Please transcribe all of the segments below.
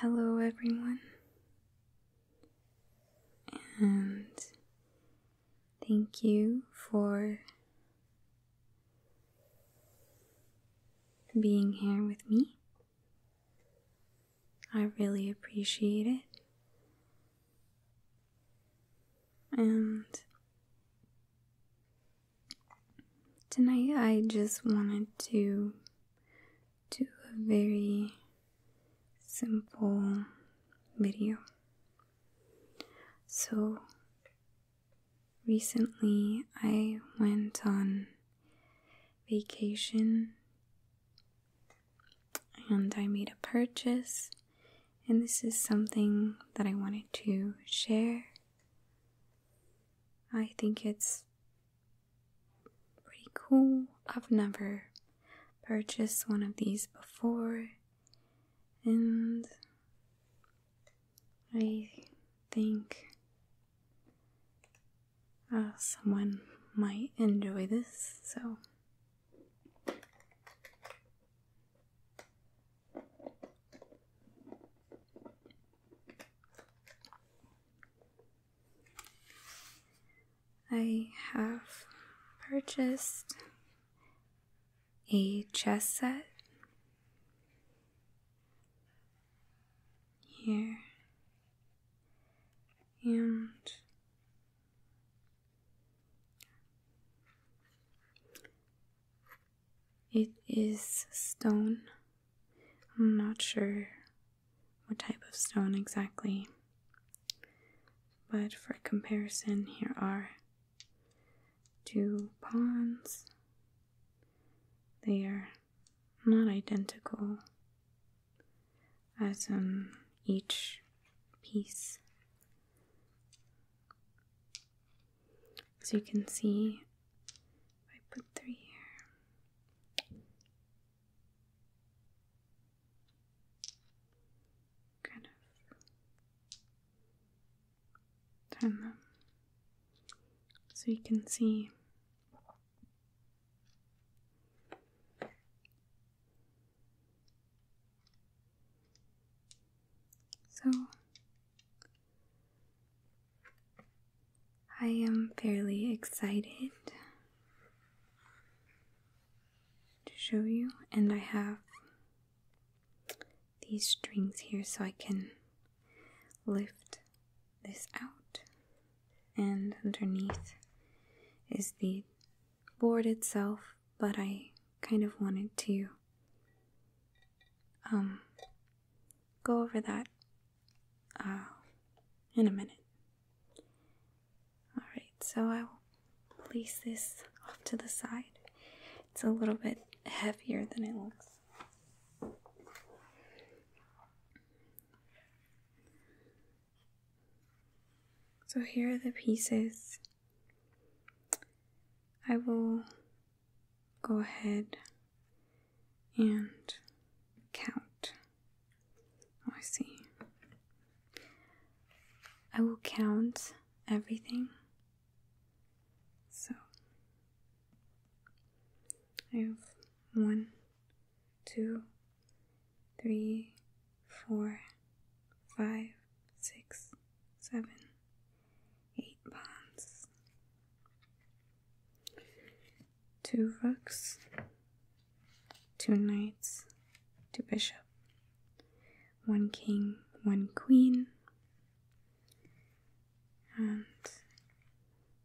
Hello, everyone, and thank you for being here with me. I really appreciate it. And tonight I just wanted to do a very simple video. So recently I went on vacation and I made a purchase, and this is something that I wanted to share. I think it's pretty cool. I've never purchased one of these before, and I think uh, someone might enjoy this, so I have purchased a chess set here and it is stone. I'm not sure what type of stone exactly, but for comparison, here are two pawns. They are not identical, as in um, each piece so you can see, I put three here. Kind of turn them so you can see so, I am fairly excited to show you, and I have these strings here so I can lift this out, and underneath is the board itself, but I kind of wanted to um go over that uh, in a minute. Alright, so I will place this off to the side. It's a little bit heavier than it looks. So here are the pieces. I will go ahead and count. Oh, I see. I will count everything. So I have one, two, three, four, five, six, seven, eight bonds, two rooks, two knights, two bishops. one king, one queen, and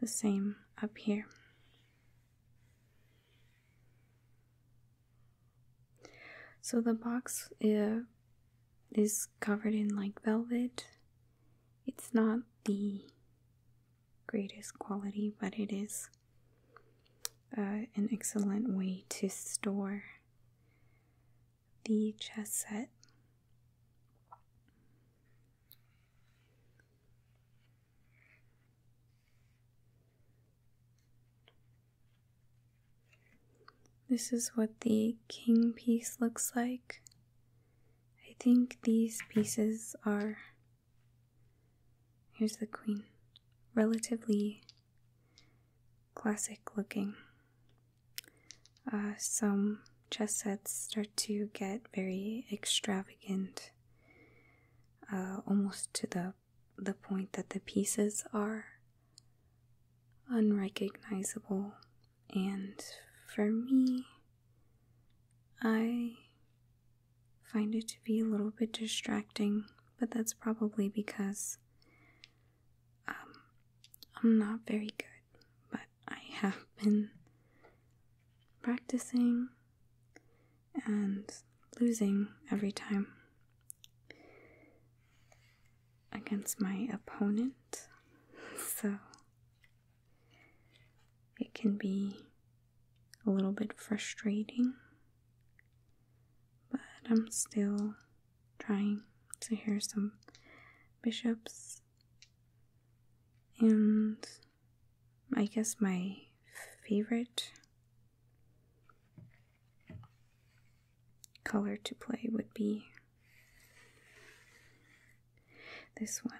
the same up here. So the box uh, is covered in like velvet. It's not the greatest quality, but it is uh, an excellent way to store the chess set. This is what the king piece looks like. I think these pieces are. Here's the queen. Relatively classic looking. Uh, some chess sets start to get very extravagant, uh, almost to the the point that the pieces are unrecognizable, and for me, I find it to be a little bit distracting, but that's probably because um, I'm not very good, but I have been practicing and losing every time against my opponent. So it can be a little bit frustrating, but I'm still trying. to hear some bishops, and I guess my favorite color to play would be this one.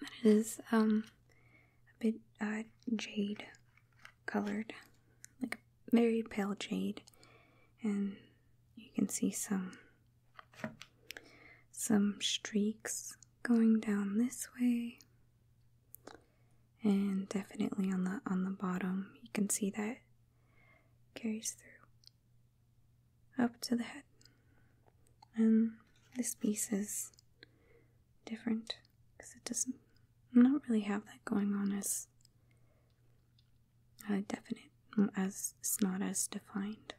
But it is um, a bit uh, jade colored, like very pale jade, and you can see some some streaks going down this way and definitely on the on the bottom you can see that carries through up to the head and this piece is different because it doesn't not really have that going on as uh, definite mm, as it's not as defined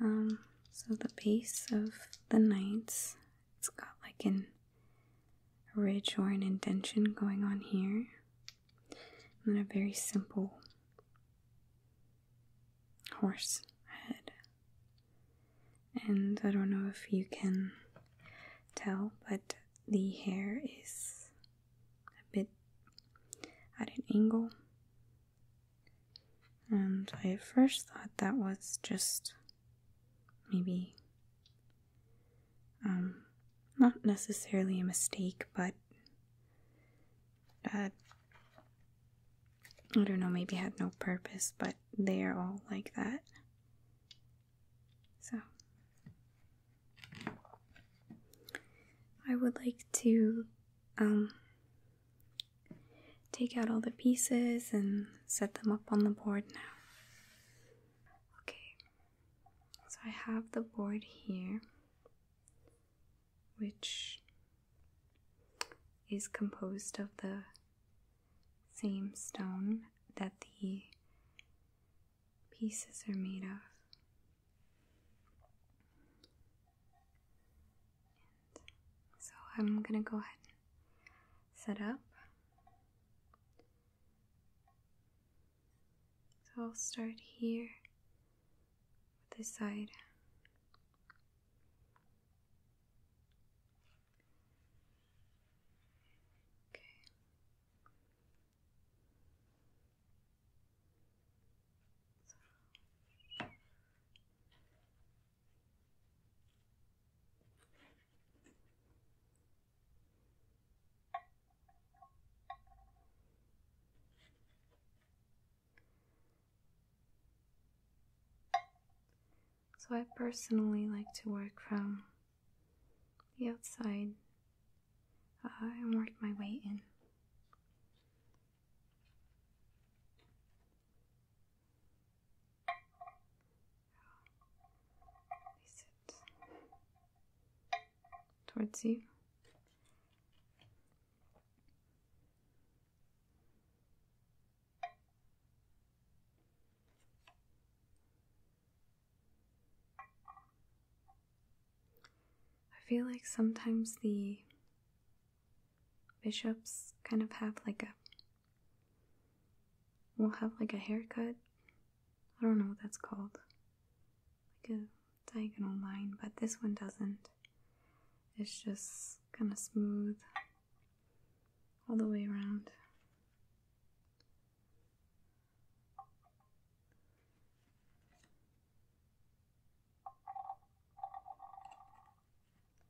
um, so the base of the knights it's got like a ridge or an indentation going on here. And then a very simple horse head. And I don't know if you can tell, but the hair is a bit at an angle. And I at first thought that was just maybe um, not necessarily a mistake, but I don't know, maybe had no purpose, but they are all like that. So, I would like to um, Take out all the pieces and set them up on the board now. Okay, so I have the board here, which is composed of the same stone that the pieces are made of. so I'm going to go ahead set up. So I'll start here with this side. Okay. So, I personally like to work from the outside uh, and work my way in. Release it towards you. I feel like sometimes the bishops kind of have like a will have like a haircut. I don't know what that's called. Like a diagonal line, but this one doesn't. It's just kind of smooth all the way around.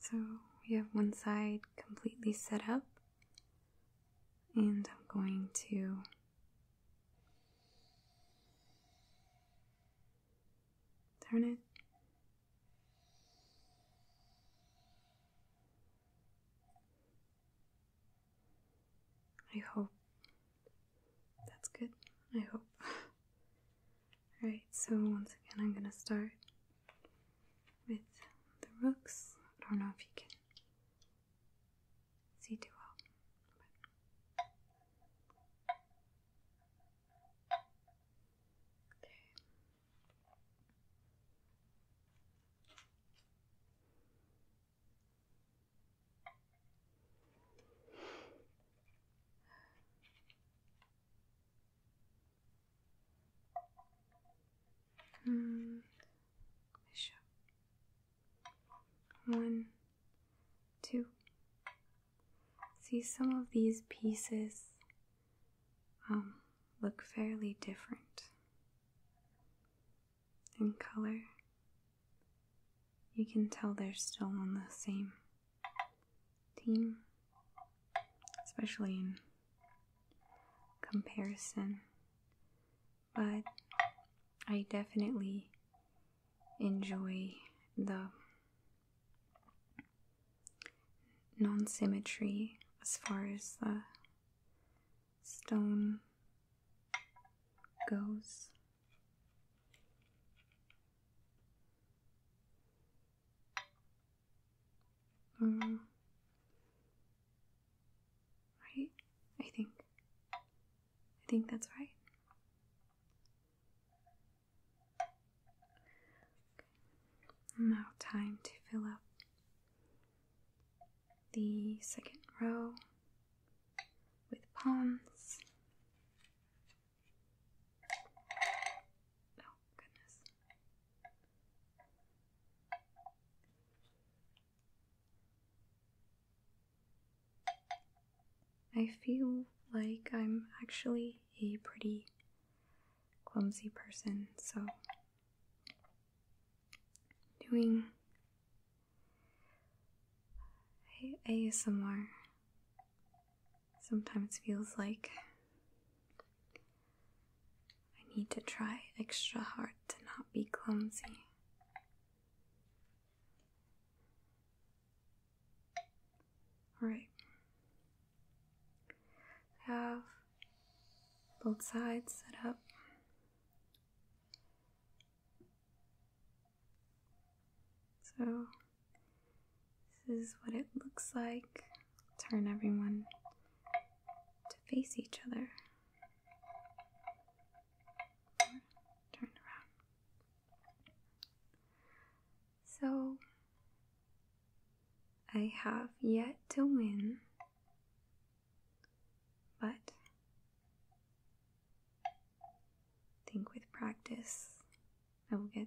So we have one side completely set up, and I'm going to turn it. I hope that's good. I hope. Alright, so once again, I'm gonna start with the rooks. I don't know if you can see too well. Okay. Hmm. One, two. See, some of these pieces um, look fairly different in color. You can tell they're still on the same team, especially in comparison. But I definitely enjoy the non symmetry as far as the stone goes. Mm. Right? I think. I think that's right. Now, time to fill up the second row with palms. Oh, goodness. I feel like I'm actually a pretty clumsy person, so doing a ASMR sometimes feels like I need to try extra hard to not be clumsy. Alright. I have both sides set up. So this is what it looks like. Turn everyone to face each other. Turn around. So, I have yet to win, but I think with practice I will get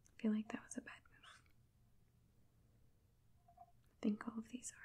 I feel like that was a bad move. I think all of these are.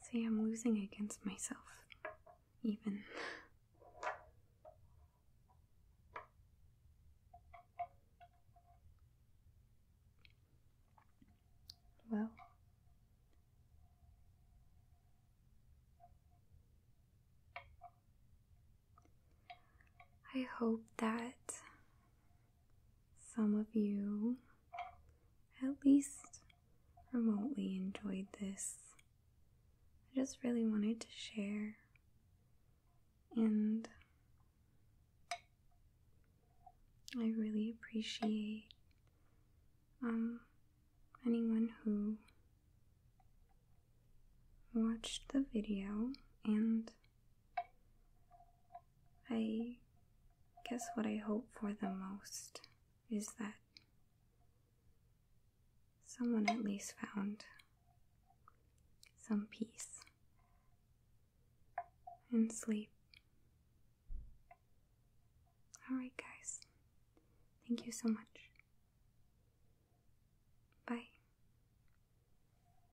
See, I'm losing against myself, even. Well, I hope that some of you at least remotely enjoyed this. I just really wanted to share and I really appreciate um, anyone who watched the video and I guess what I hope for the most is that someone at least found some peace and sleep. Alright, guys. Thank you so much. Bye.